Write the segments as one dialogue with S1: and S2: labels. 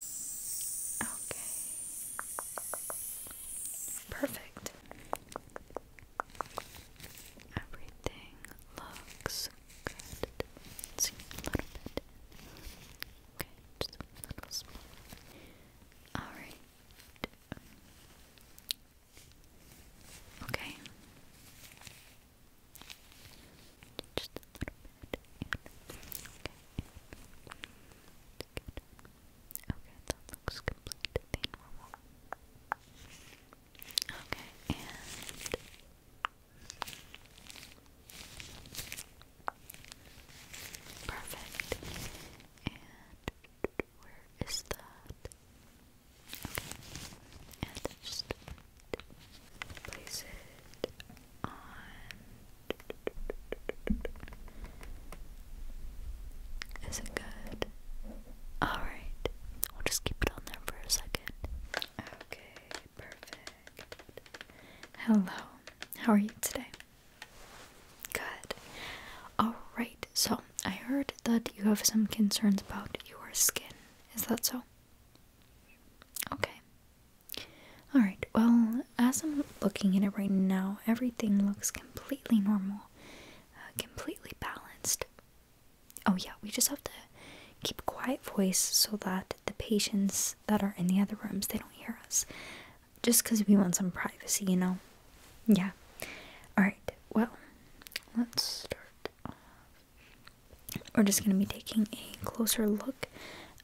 S1: Okay. Perfect. Everything looks good. let a little bit. Okay, just a little small. Alright. Okay. Just a little bit. Okay, that looks completely normal. Okay, and perfect. And where is that? Okay, and just place it is it good? Alright, we'll just keep it on there for a second. Okay, perfect. Hello, how are you today? Good. Alright, so I heard that you have some concerns about your skin. Is that so? Okay, Alright, well, as I'm looking at it right now, everything looks completely normal, uh, completely balanced. Oh, yeah, we just have to keep a quiet voice so that the patients that are in the other rooms they don't hear us just because we want some privacy you know yeah all right well let's start off we're just going to be taking a closer look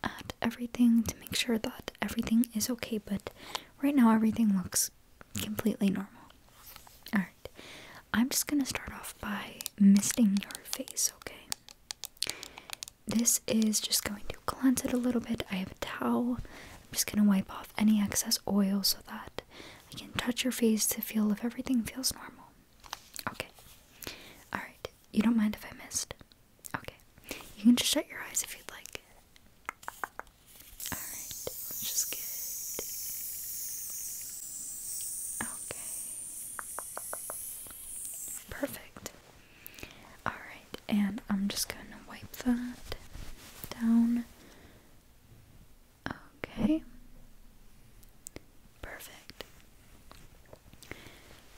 S1: at everything to make sure that everything is okay, but right now everything looks completely normal. Alright, I'm just gonna start off by misting your face, okay? This is just going to cleanse it a little bit. I have a towel. I'm just gonna wipe off any excess oil so that I can touch your face to feel if everything feels normal. Okay. Alright, you don't mind if I missed? Okay. You can just shut your eyes if you'd like. Alright, which is good. Okay. Perfect. Alright, and I'm just gonna wipe that down. Okay. Perfect.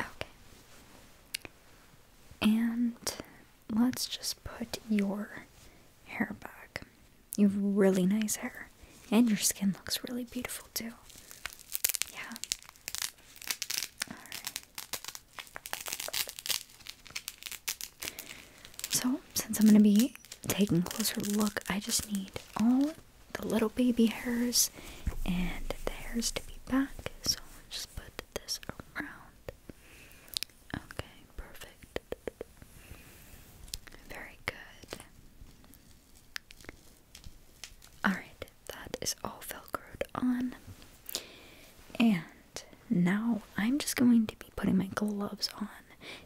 S1: Okay. And let's just put your hair back. You have really nice hair. And your skin looks really beautiful too. Yeah. So, since I'm going to be taking a closer look, I just need all the little baby hairs and the hairs to be back. So, I'll just put this around. Okay, perfect. Very good. Alright, that is all velcroed on. And now I'm just going to be putting my gloves on.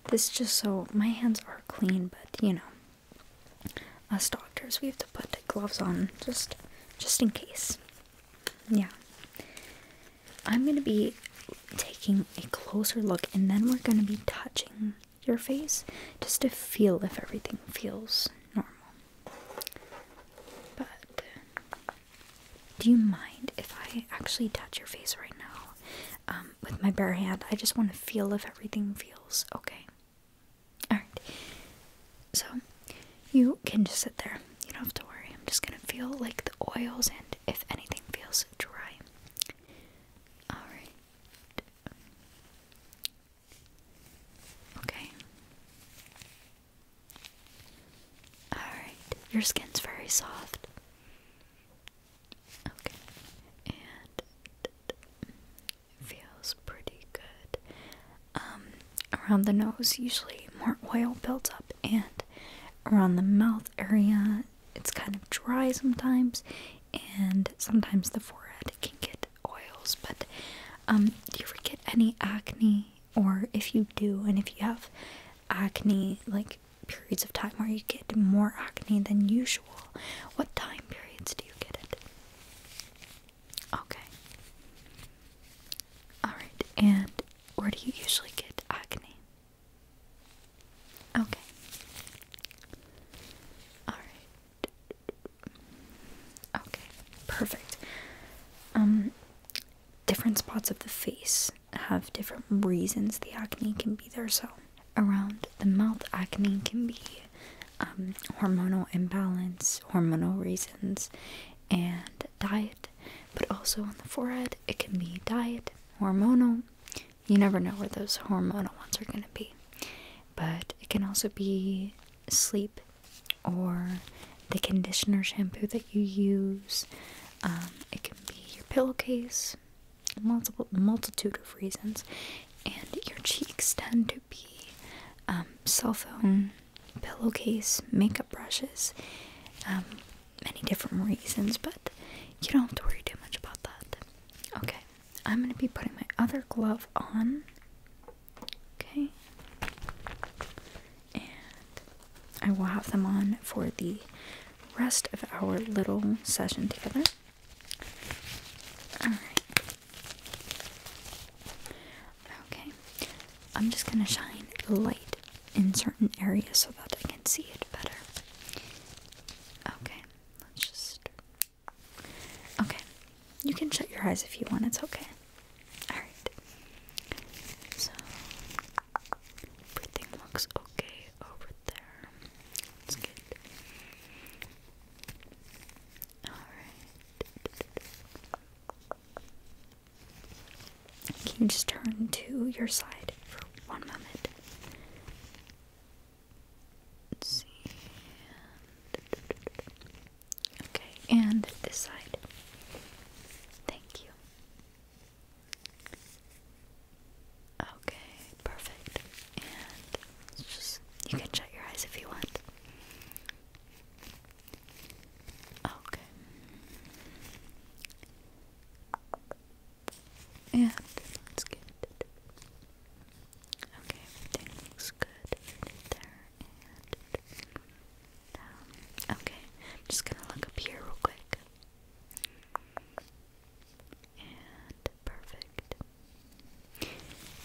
S1: This just so my hands are clean, but you know, us doctors, we have to put gloves on just just in case yeah i'm going to be taking a closer look and then we're going to be touching your face just to feel if everything feels normal but do you mind if i actually touch your face right now um, with my bare hand i just want to feel if everything feels okay Alright. So, you can just sit there. You don't have to worry. I'm just gonna feel like the oils and if anything feels dry. Alright. Okay. Alright. Your skin's very soft. Okay. And it feels pretty good. Um, around the nose, usually more oil buildup, and around the mouth area, it's kind of dry sometimes, and sometimes the forehead can get oils. But um, do you ever get any acne? Or if you do, and if you have acne, like periods of time where you get more acne than usual, what time periods do you get it? Okay. Alright, and where do you usually get acne? Okay. Alright. Okay, perfect. Um, different spots of the face have different reasons the acne can be there. So, around the mouth, acne can be um, hormonal imbalance, hormonal reasons and diet, but also on the forehead, it can be diet, hormonal. You never know where those hormonal ones are going to be. But it can also be sleep or the conditioner shampoo that you use. Um, it can be your pillowcase, multiple multitude of reasons. And your cheeks tend to be um, cell phone pillowcase, makeup brushes, um, many different reasons, but you don't have to worry too much about that. Okay, I'm gonna be putting my other glove on. Okay, and I will have them on for the rest of our little session together. Alright. Okay, I'm just gonna shine light in certain areas so that I can see it better. Okay, let's just. Okay, you can shut your eyes if you want, it's okay. Alright, so everything looks okay over there. It's good. Alright. Can you just turn to your side for one moment? Let's see. Okay, and this side. Thank you. Okay, perfect. And you can shut your eyes if you want. Okay. Yeah, this good. Okay, everything looks good right there and down. Okay, I'm just gonna look up here real quick. And perfect.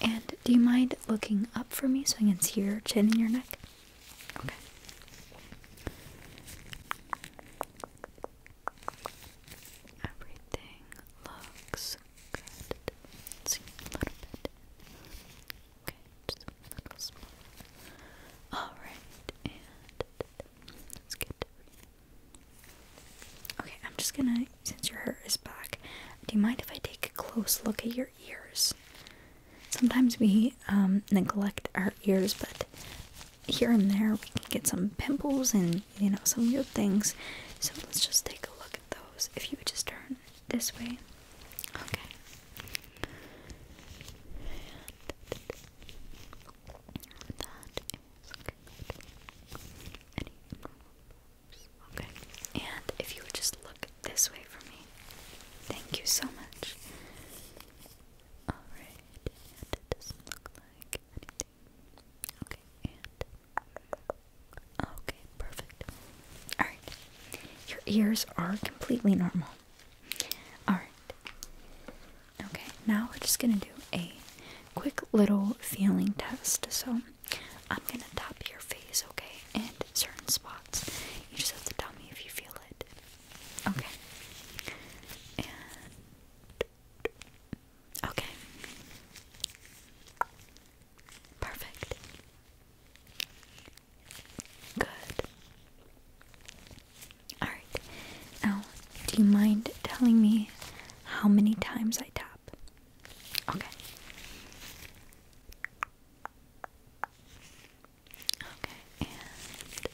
S1: And do you mind looking up for me so I can see your chin and your neck? Okay. Everything looks good. let a little bit. Okay, just a little small. Alright, and let's Okay, I'm just gonna, since your hair is back, do you mind if I take a close look at your ears. Sometimes we um, neglect our ears, but here and there we can get some pimples and you know some weird things. So let's just take a look at those. If you would just turn this way, Okay, and if you would just look this way for me. Thank you so much. Alright, Okay, perfect. Alright, your ears are completely normal. Alright. Okay, now we're just gonna do a quick little feeling test. So I'm gonna tap your face, okay, and certain spots. You just have to tell me if you feel Okay. okay. Perfect. Good. Alright. Now, do you mind telling me how many times I tap? Okay. Okay, and good.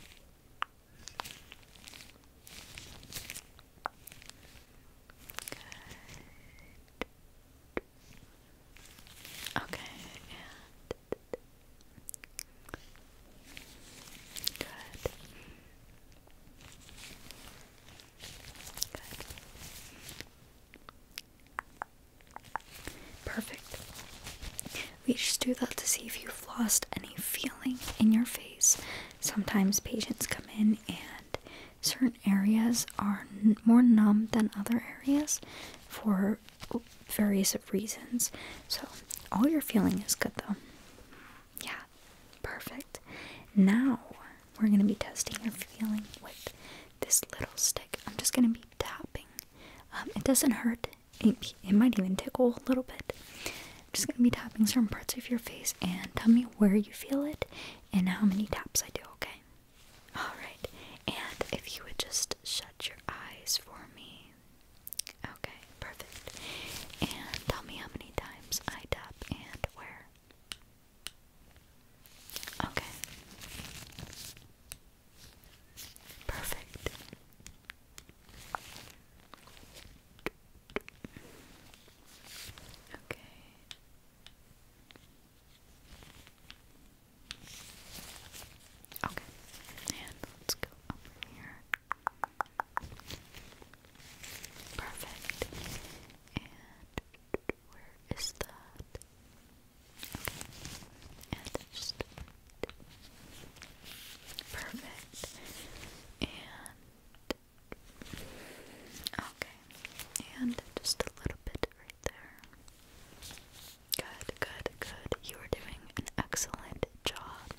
S1: Okay, and good. Good. Perfect. We just do that to see if you've lost any feeling in your face. Sometimes patients come in and certain areas are more numb than other areas for various reasons. So, all your feeling is good though. Yeah, perfect. Now, we're going to be testing your feeling with this little stick. I'm just going to be tapping. Um, it doesn't hurt. It, it might even tickle a little bit. I'm just gonna be tapping certain parts of your face and tell me where you feel it and how many taps I do, okay? Alright, and if you would just shut your eyes for me. Okay, perfect. And tell me how many times I tap and where. Okay. Perfect. Okay. Okay. And let's go over here. Perfect. And where is that? just perfect. And okay. And just a little bit right there. Good, good, good. You are doing an excellent job.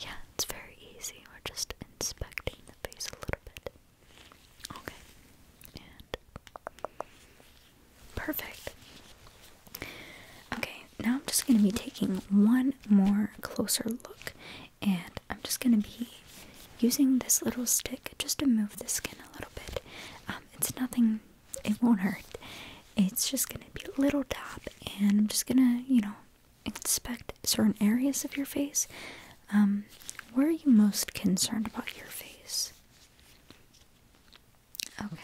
S1: Yeah, it's very easy. We're just inspecting the face a little bit. Okay. And Perfect. Okay, now I'm just going to be taking one more closer look and I'm just going to be using this little stick just to move the skin a little bit. Um, it's nothing, it won't hurt. It's just going to be a little tap and I'm just going to, you know, inspect certain areas of your face. Um, where are you most concerned about your face? Okay.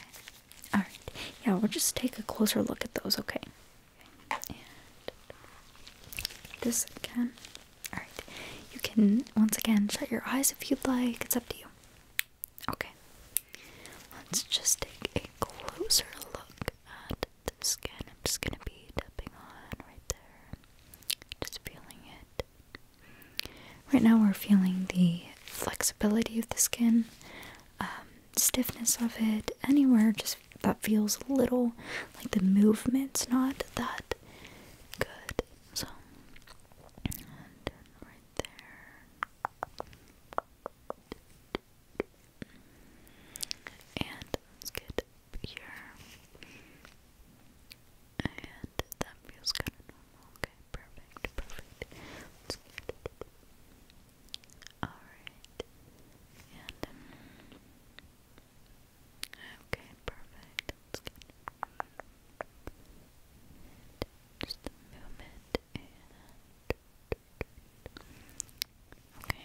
S1: All right. Yeah, we'll just take a closer look at those, okay? And this again. All right. You can once again shut your eyes if you'd like. It's up to you. Okay. Let's just take a closer look at the skin. I'm just going to be tapping on right there. Just feeling it. Right now, we're feeling the flexibility of the skin, um, stiffness of it, anywhere just that feels a little like the movement's not that good. So, right there, and let's here. And that feels kind of normal. Okay, perfect, perfect. That's good. Alright. And um, Okay, perfect. That's good. just move it and Okay. And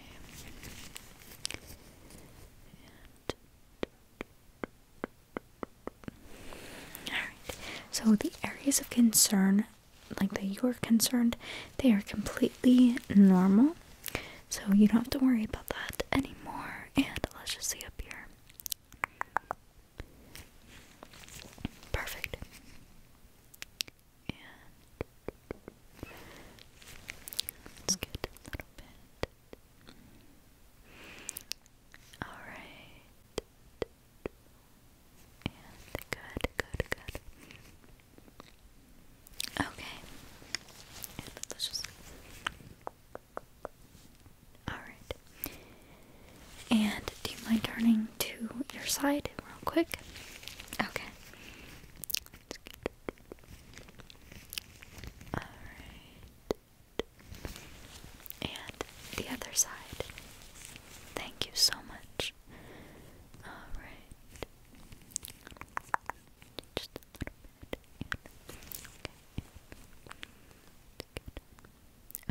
S1: so the areas of concern, like that you are concerned, they are completely normal. So you don't have to worry about that anymore. And let's just see up here. Perfect. And let's get a little bit. Alright. And good, good, good. Okay. Alright. And do you mind turning to your side real quick? Okay. Alright and the other side. Thank you so much. Alright. Just a little bit.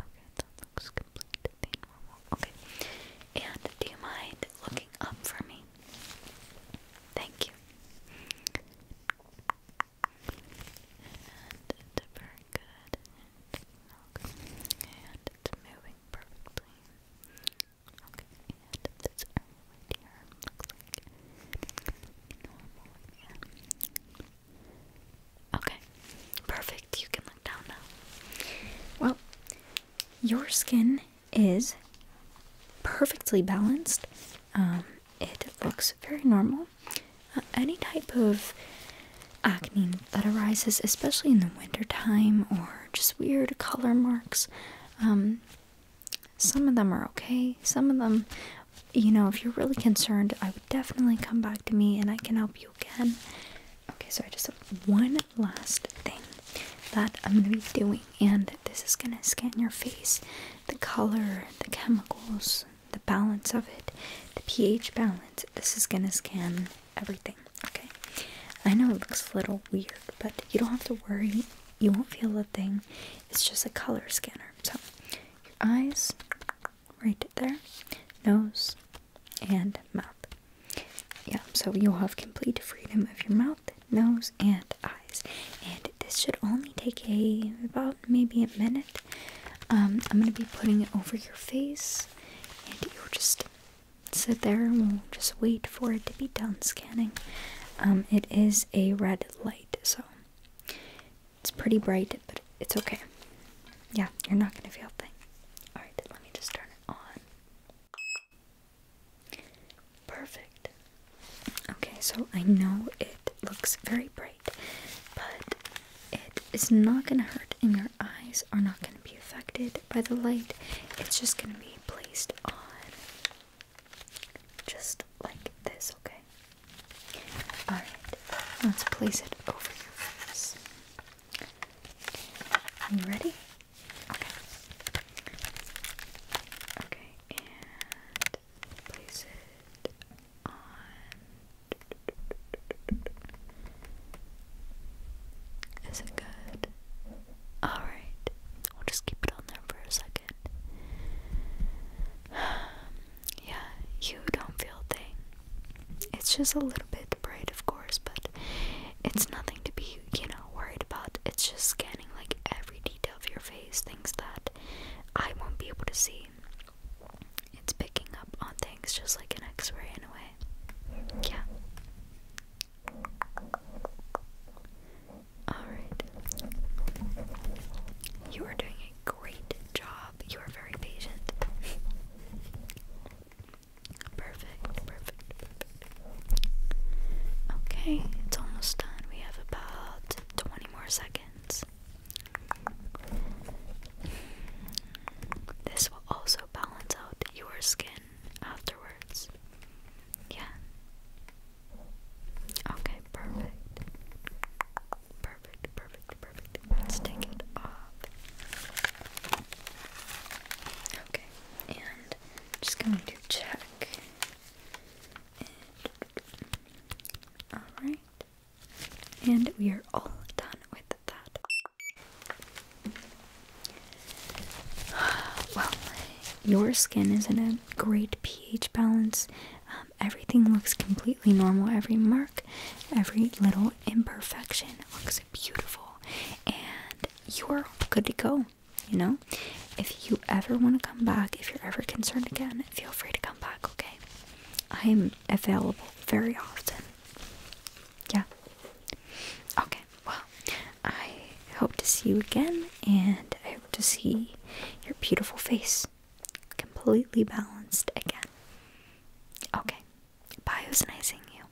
S1: Okay. Okay, that looks completely Okay. And do you mind looking up for me? Thank you and it's very good and it's moving perfectly okay, and this area here looks like okay, perfect, you can look down now well, your skin is perfectly balanced um, it looks very normal any type of acne that arises, especially in the wintertime, or just weird color marks, um, some of them are okay. Some of them, you know, if you're really concerned, I would definitely come back to me and I can help you again. Okay, so I just have one last thing that I'm gonna be doing, and this is gonna scan your face, the color, the chemicals, the balance of it, the pH balance. This is gonna scan everything, okay? I know it looks a little weird, but you don't have to worry. You won't feel a thing. It's just a color scanner. So, your eyes, right there, nose, and mouth. Yeah, so you'll have complete freedom of your mouth, nose, and eyes. And this should only take a about maybe a minute. Um, I'm gonna be putting it over your face, and you'll just sit there and we'll just wait for it to be done scanning. Um, it is a red light, so it's pretty bright, but it's okay. Yeah, you're not gonna feel a thing. Alright, let me just turn it on. Perfect. Okay, so I know it looks very bright, but it is not going to hurt, and your eyes are not going to be affected by the light. It's just going to be placed on just like this, okay? Alright, let's place it over your face. You ready? Okay. Okay, and place it is it good? Alright, we'll just keep it on there for a second. yeah, you don't feel a thing. It's just a little bit bright, of course, but it's nothing to be, you know, worried about. It's just scanning like every detail of your face, things that I won't be able to see. It's picking up on things just like an x ray in a way. Yeah. Alright. You are doing a great job. You are very patient. perfect, perfect, perfect. Okay, it's almost done. We have about 20 more seconds. This will also balance out your skin afterwards. Yeah. Okay, perfect. Perfect, perfect, perfect. Let's take it off. Okay, and just going to check. Alright. And we are all done with that. Well, your skin is in a great pH balance. Um, everything looks completely normal. Every mark, every little imperfection looks beautiful. And you're good to go, you know? If you ever want to come back, if you're ever concerned again, feel free to come back, okay? I'm available very often. Yeah. Okay, well, I hope to see you again, and I hope to see your beautiful face completely balanced again. Okay, bye, it was nice seeing you.